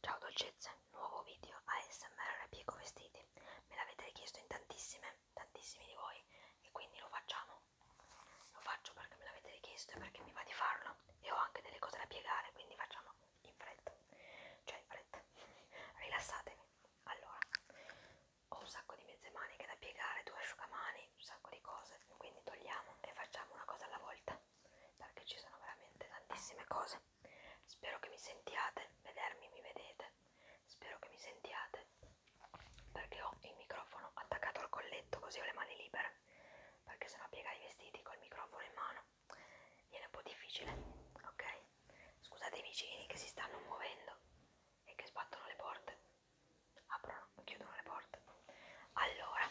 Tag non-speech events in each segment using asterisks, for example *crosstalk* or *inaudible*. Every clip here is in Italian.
Ciao dolcezze, nuovo video ASMR Pico Vestiti. Me l'avete richiesto in tantissime, tantissimi di voi e quindi lo facciamo. Lo faccio perché me l'avete richiesto e perché mi va di farlo e ho anche delle cose da piegare, quindi facciamo in fretta. Cioè in fretta. *laughs* Rilassatevi. Allora, ho un sacco di mezze maniche da piegare, due asciugamani, un sacco di cose, quindi togliamo e facciamo una cosa alla volta perché ci sono veramente tantissime cose. Spero che mi sentiate, vedermi mi vedete, spero che mi sentiate perché ho il microfono attaccato al colletto così ho le mani libere perché sennò piegare i vestiti col microfono in mano viene un po' difficile, ok? Scusate i vicini che si stanno muovendo e che sbattono le porte, aprono, chiudono le porte. Allora,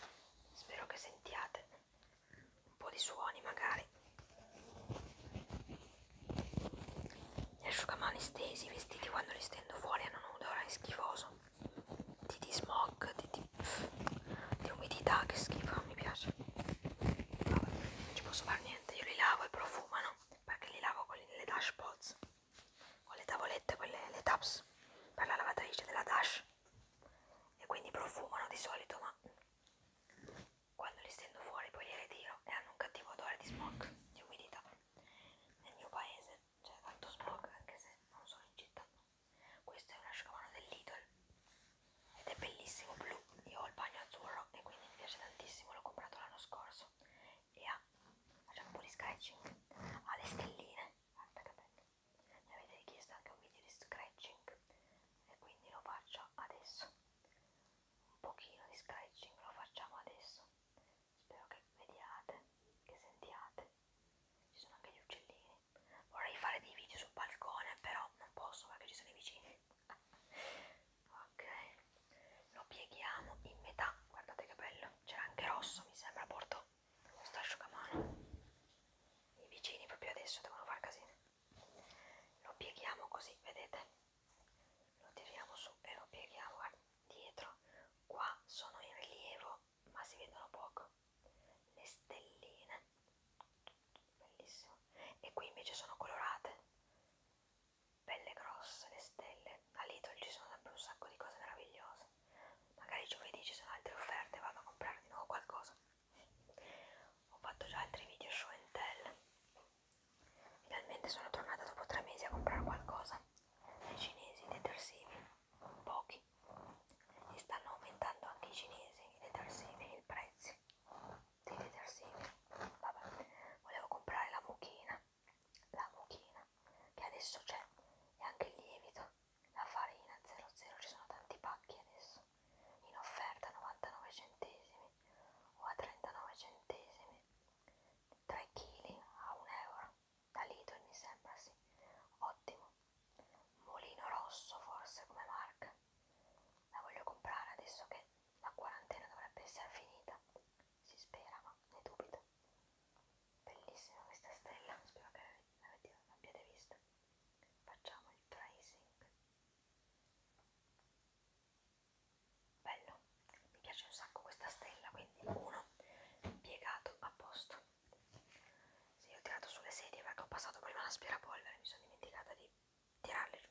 spero che sentiate un po' di suoni magari gli asciugamani stesi, i vestiti quando li stendo fuori hanno un odore schifoso di, di smog, di, di, di umidità, che schifo, non mi piace Vabbè, non ci posso fare niente, io li lavo e profumano perché li lavo con le dash pods con le tavolette, quelle, le taps per la lavatrice della dash e quindi profumano di solito ma quando li stendo fuori poi li ritiro e hanno un cattivo odore di smog, di umidità. Nel mio paese c'è tanto smog anche se non sono in città. Questo è un asciugamano dell'Idol ed è bellissimo blu. Io ho il bagno azzurro e quindi mi piace tantissimo, l'ho comprato l'anno scorso. E ha, facciamo un po' di sketching, ha le stelline, guarda che bello, mi avete richiesto anche un video di scratching e quindi lo faccio adesso un pochino di scratching lo facciamo adesso spero che vediate che sentiate ci sono anche gli uccellini vorrei fare dei video sul balcone però non posso perché ci sono i vicini *laughs* ok lo pieghiamo in metà guardate che bello c'era anche rosso mi sembra porto questo asciugamano i vicini proprio adesso devono far casino lo pieghiamo così vedete lo tiriamo su e lo pieghiamo dietro qua sono in rilievo ma si vedono poco le stelline bellissimo e qui invece sono colorate belle grosse le stelle a Lidl ci sono sempre un sacco di cose meravigliose magari giovedì ci sono altre offerte vado a comprare di nuovo qualcosa ho fatto già altri video show and tell finalmente sono tornata dopo tre mesi a comprare qualcosa dai cinesi, detersivi, pochi e stanno aumentando anche i cinesi, i detersivi, i prezzi dei detersivi vabbè, volevo comprare la mucchina la mucchina che adesso c'è e anche il lievito la farina 00 ci sono tanti pacchi adesso in offerta a 99 centesimi o a 39 centesimi 3 kg a 1 euro da Lidl mi sembra sì ottimo Molino Rosso forse come marca la voglio comprare adesso che la quarantena dovrebbe essere finita si spera ma ne dubito bellissima questa stella spero che l'abbiate vista facciamo il tracing bello mi piace un sacco questa stella quindi uno piegato a posto sì, io ho tirato sulle sedie perché ho passato prima la polvere mi sono dimenticata di tirarle giù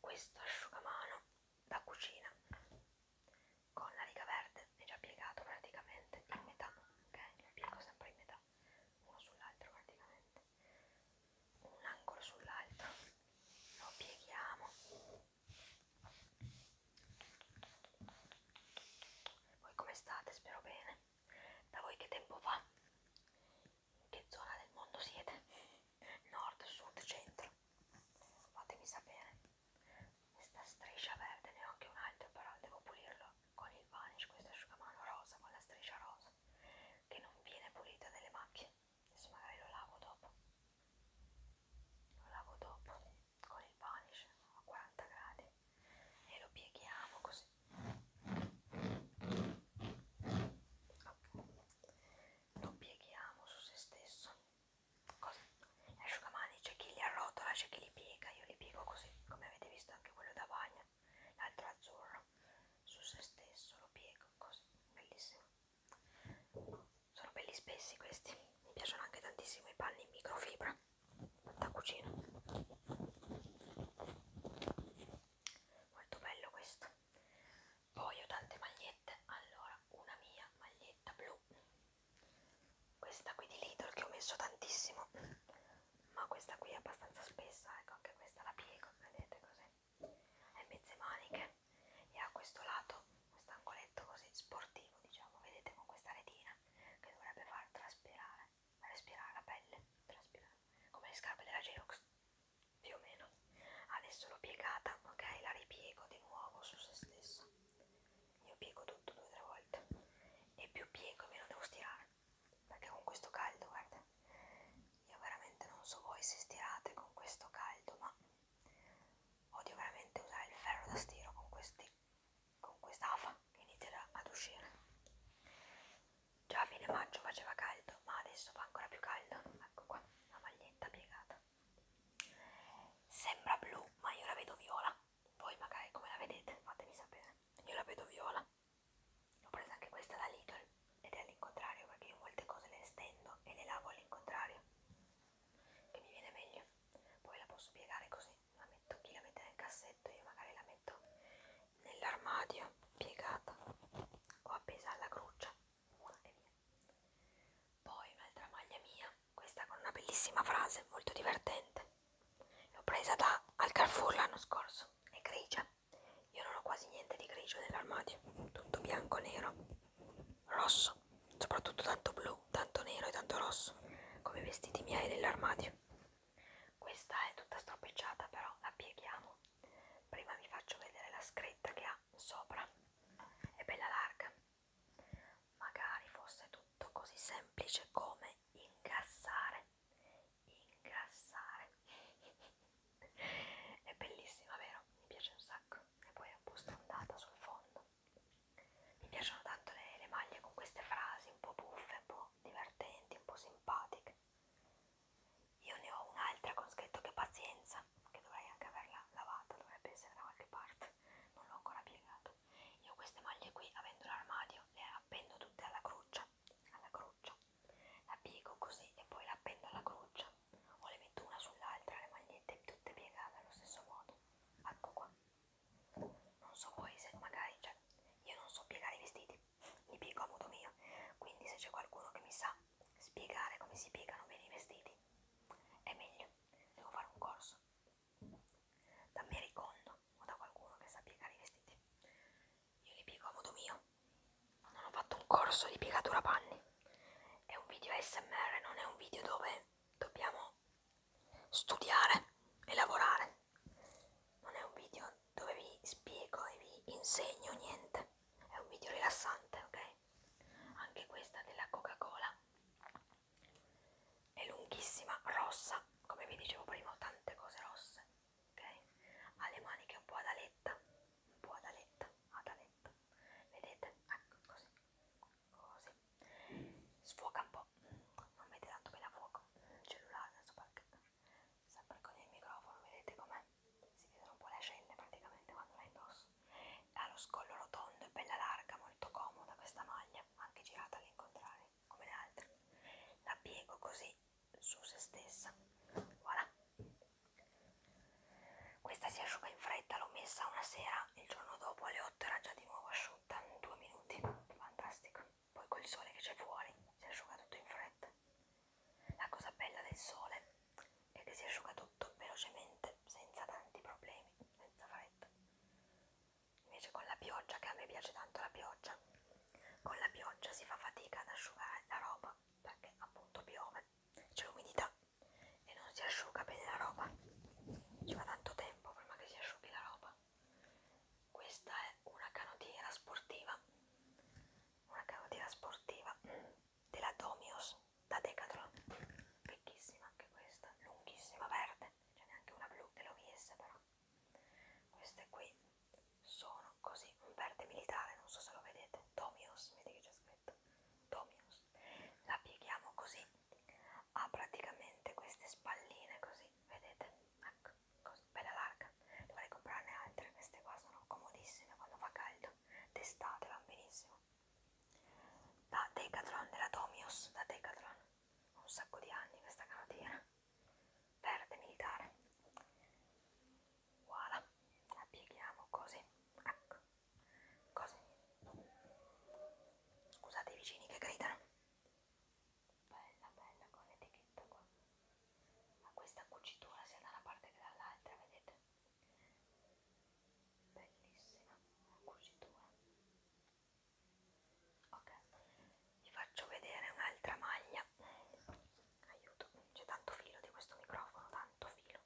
questo asciugamano da cucina con la riga verde è già piegato praticamente in metà ok lo piego sempre in metà uno sull'altro praticamente un angolo sull'altro lo pieghiamo voi come state? spero bene da voi che tempo fa? in che zona del mondo siete? nord, sud, centro? fatemi sapere questa striscia verde ne ho anche un altro però devo pulirlo con il vanish, questo asciugamano rosa con la striscia rosa che non viene pulita delle macchie adesso magari lo lavo dopo lo lavo dopo con il vanish a 40 gradi e lo pieghiamo così lo pieghiamo su se stesso così asciugamani c'è chi li arrotola c'è chi li piega io li piego così come avete visto anche quello da bagno l'altro azzurro su se stesso lo piego così bellissimo sono belli spessi questi mi piacciono anche tantissimo i panni in microfibra da cucina molto bello questo poi ho tante magliette allora una mia maglietta blu questa qui di Lidl che ho messo tantissimo ma questa qui è abbastanza spessa, ecco anche questa la piego, vedete così, è mezze maniche e ha questo lato, questo angoletto così sportivo diciamo, vedete con questa retina che dovrebbe far traspirare, respirare la pelle, traspirare, come le scarpe della Geox, più o meno. Adesso l'ho piegata, ok, la ripiego di nuovo su se stessa, io piego tutto due o tre volte e più piego meno devo stirare perché con questo caldo guarda io veramente non so voi se stirate con questo caldo ma odio veramente usare il ferro da stiro con questi con quest'afa che inizierà ad uscire già a fine maggio faceva caldo ma adesso fa ancora più caldo ecco qua la maglietta piegata sembra blu ma io la vedo viola voi magari come la vedete fatemi sapere io la vedo viola L'ho presa anche questa da Lidl ed è all'incontrario perché io molte cose le stendo e le lavo all'incontrario, che mi viene meglio. Poi la posso piegare così, la metto chi la mette nel cassetto, io magari la metto nell'armadio piegata o appesa alla gruccia e via. Poi un'altra maglia mia, questa con una bellissima frase molto divertente l'ho presa da, al Carrefour l'anno scorso, è grigia, io non ho quasi niente di grigio nell'armadio, tutto bianco, nero, rosso, soprattutto tanto blu, tanto nero e tanto rosso, come i vestiti miei nell'armadio. Questa è tutta stropicciata però la pieghiamo, prima vi faccio vedere la scritta che ha sopra, è bella larga, magari fosse tutto così semplice come ingassare ingrassare è bellissima vero? mi piace un sacco e poi è un po' stondata sul fondo mi piacciono tanto le, le maglie con queste frasi un po' buffe, un po' divertenti, un po' simpatiche io ne ho un'altra con scritto che pazienza che dovrei anche averla lavata, dovrebbe essere da qualche parte non l'ho ancora piegato io queste maglie qui avendo l'armadio le appendo tutte alla cruccia croce, alla croce, la piego così e poi la appendo alla croce o le metto una sull'altra, le magliette tutte piegate allo stesso modo. Ecco qua. Non so poi se magari, cioè, io non so piegare i vestiti, li piego a modo mio, quindi se c'è qualcuno che mi sa spiegare come si piegano bene i vestiti, è meglio, devo fare un corso. Da Mary Kondo, o da qualcuno che sa piegare i vestiti. Io li piego a modo mio. Non ho fatto un corso di piegatura panni. È un video ASMR, non è un video dove dobbiamo studiare e lavorare. Non è un video dove vi spiego e vi insegno niente. È un video rilassante, ok? Anche questa della Coca-Cola è lunghissima, rossa, come vi dicevo prima, ho tante cose rosse ok? Ha le maniche un po' ad aletta, un po' ad aletta, ad aletta, vedete? Ecco, così, così, sfoca un po', non mette tanto bene a fuoco il cellulare, adesso perché sempre con il microfono, vedete com'è? Si vedono un po' le ascelle praticamente quando la indosso. Ha lo scollo rotondo, è bella larga, molto comoda questa maglia, anche girata all'incontrario come le altre, la piego così su se stessa, voilà. Questa si asciuga in fretta, l'ho messa una sera, il giorno dopo alle 8 era già di nuovo asciutta, in due minuti, fantastico. Poi col sole che c'è fuori si asciuga tutto in fretta. La cosa bella del sole è che si asciuga tutto velocemente, senza tanti problemi, senza fretta invece con la pioggia che a me piace tanto la pioggia con la pioggia si fa fatica ad asciugare la roba perché appunto piove c'è l'umidità e non si asciuga bene la roba ci va tanto tempo prima che si asciughi la roba questa è una canottiera sportiva una canottiera sportiva della Domios da Decathlon vecchissima anche questa lunghissima verde c'è neanche una blu dell'OVS però queste qui sono così, un verde militare, non so se lo vedete, Tomios, vedete che c'è scritto, Tomios. La pieghiamo così, ha praticamente queste spalline così, vedete? Ecco, così, bella larga. Dovrei comprarne altre, queste qua sono comodissime quando fa caldo, d'estate va benissimo. Da Decathlon della Tomios, da Decathlon, un sacco di anni questa canottiera verde militare voilà la pieghiamo così ecco così scusate i vicini che gridano bella bella con l'etichetta qua ma questa cucitura sia da una parte che dall'altra vedete bellissima la cucitura ok vi faccio vedere un'altra maglia aiuto c'è tanto filo di questo microfono tanto filo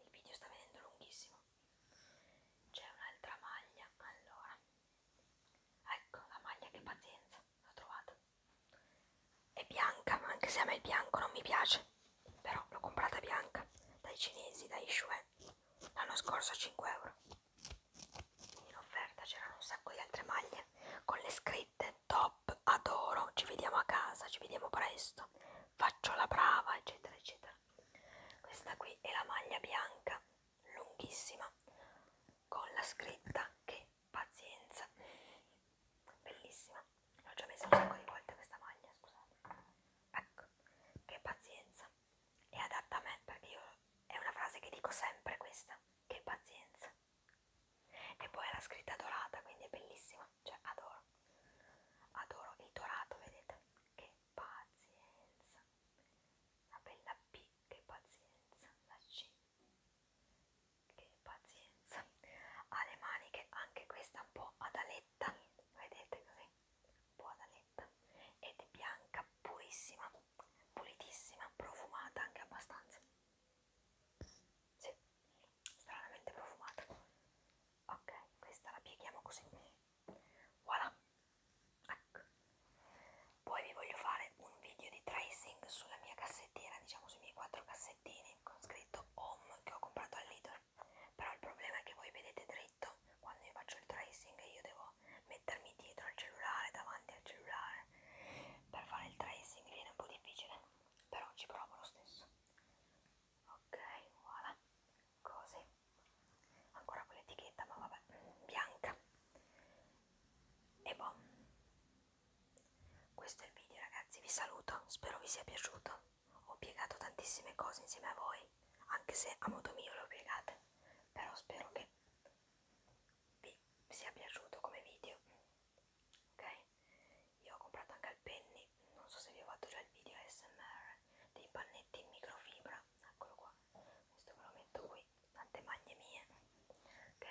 il video sta venendo lunghissimo c'è un'altra maglia allora ecco la maglia che pazienza l'ho trovata è bianca ma anche se a me il bianco non mi piace però l'ho comprata bianca dai cinesi dai Shue l'anno scorso a 5 euro in offerta c'erano un sacco di altre maglie con le scritte top, adoro, ci vediamo a casa, ci vediamo presto, faccio la brava, eccetera, eccetera. Questa qui è la maglia bianca, lunghissima, con la scritta che pazienza, *laughs* bellissima. L'ho già messa un sacco di volte questa maglia, scusate. Ecco, che pazienza. È adatta a me perché io è una frase che dico sempre questa, che pazienza e poi la scritta dorata quindi è bellissima cioè adoro adoro il dorato vedete che pazienza la bella P che pazienza la C che pazienza ha le maniche anche questa un po' ad aletta vedete così un po' ad aletta ed è bianca purissima pulitissima, profumata anche abbastanza. Sì, stranamente profumata. Ok, questa la pieghiamo così. Voilà. Ecco. Poi vi voglio fare un video di tracing sulla mia cassettiera, diciamo sui miei quattro cassettini con scritto home che ho comprato al Lidl. Però il problema è che voi vedete dritto quando io faccio il tracing e io devo mettermi dietro al cellulare, davanti al cellulare per fare il tracing viene un po' difficile, però ci provo lo stesso. Ok, voilà, così. Ancora quell'etichetta, ma vabbè, bianca. E boh, questo è il video ragazzi, vi saluto, spero vi sia piaciuto. Ho piegato tantissime cose insieme a voi, anche se a modo mio le ho piegate, però spero che vi sia piaciuto come video ok io ho comprato anche il penny non so se vi ho fatto già il video smr dei pannetti in microfibra eccolo qua questo ve lo metto qui tante maglie mie ok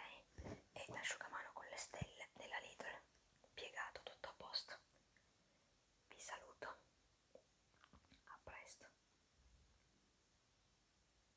e l'asciugamano con le stelle della Lidl piegato tutto a posto vi saluto a presto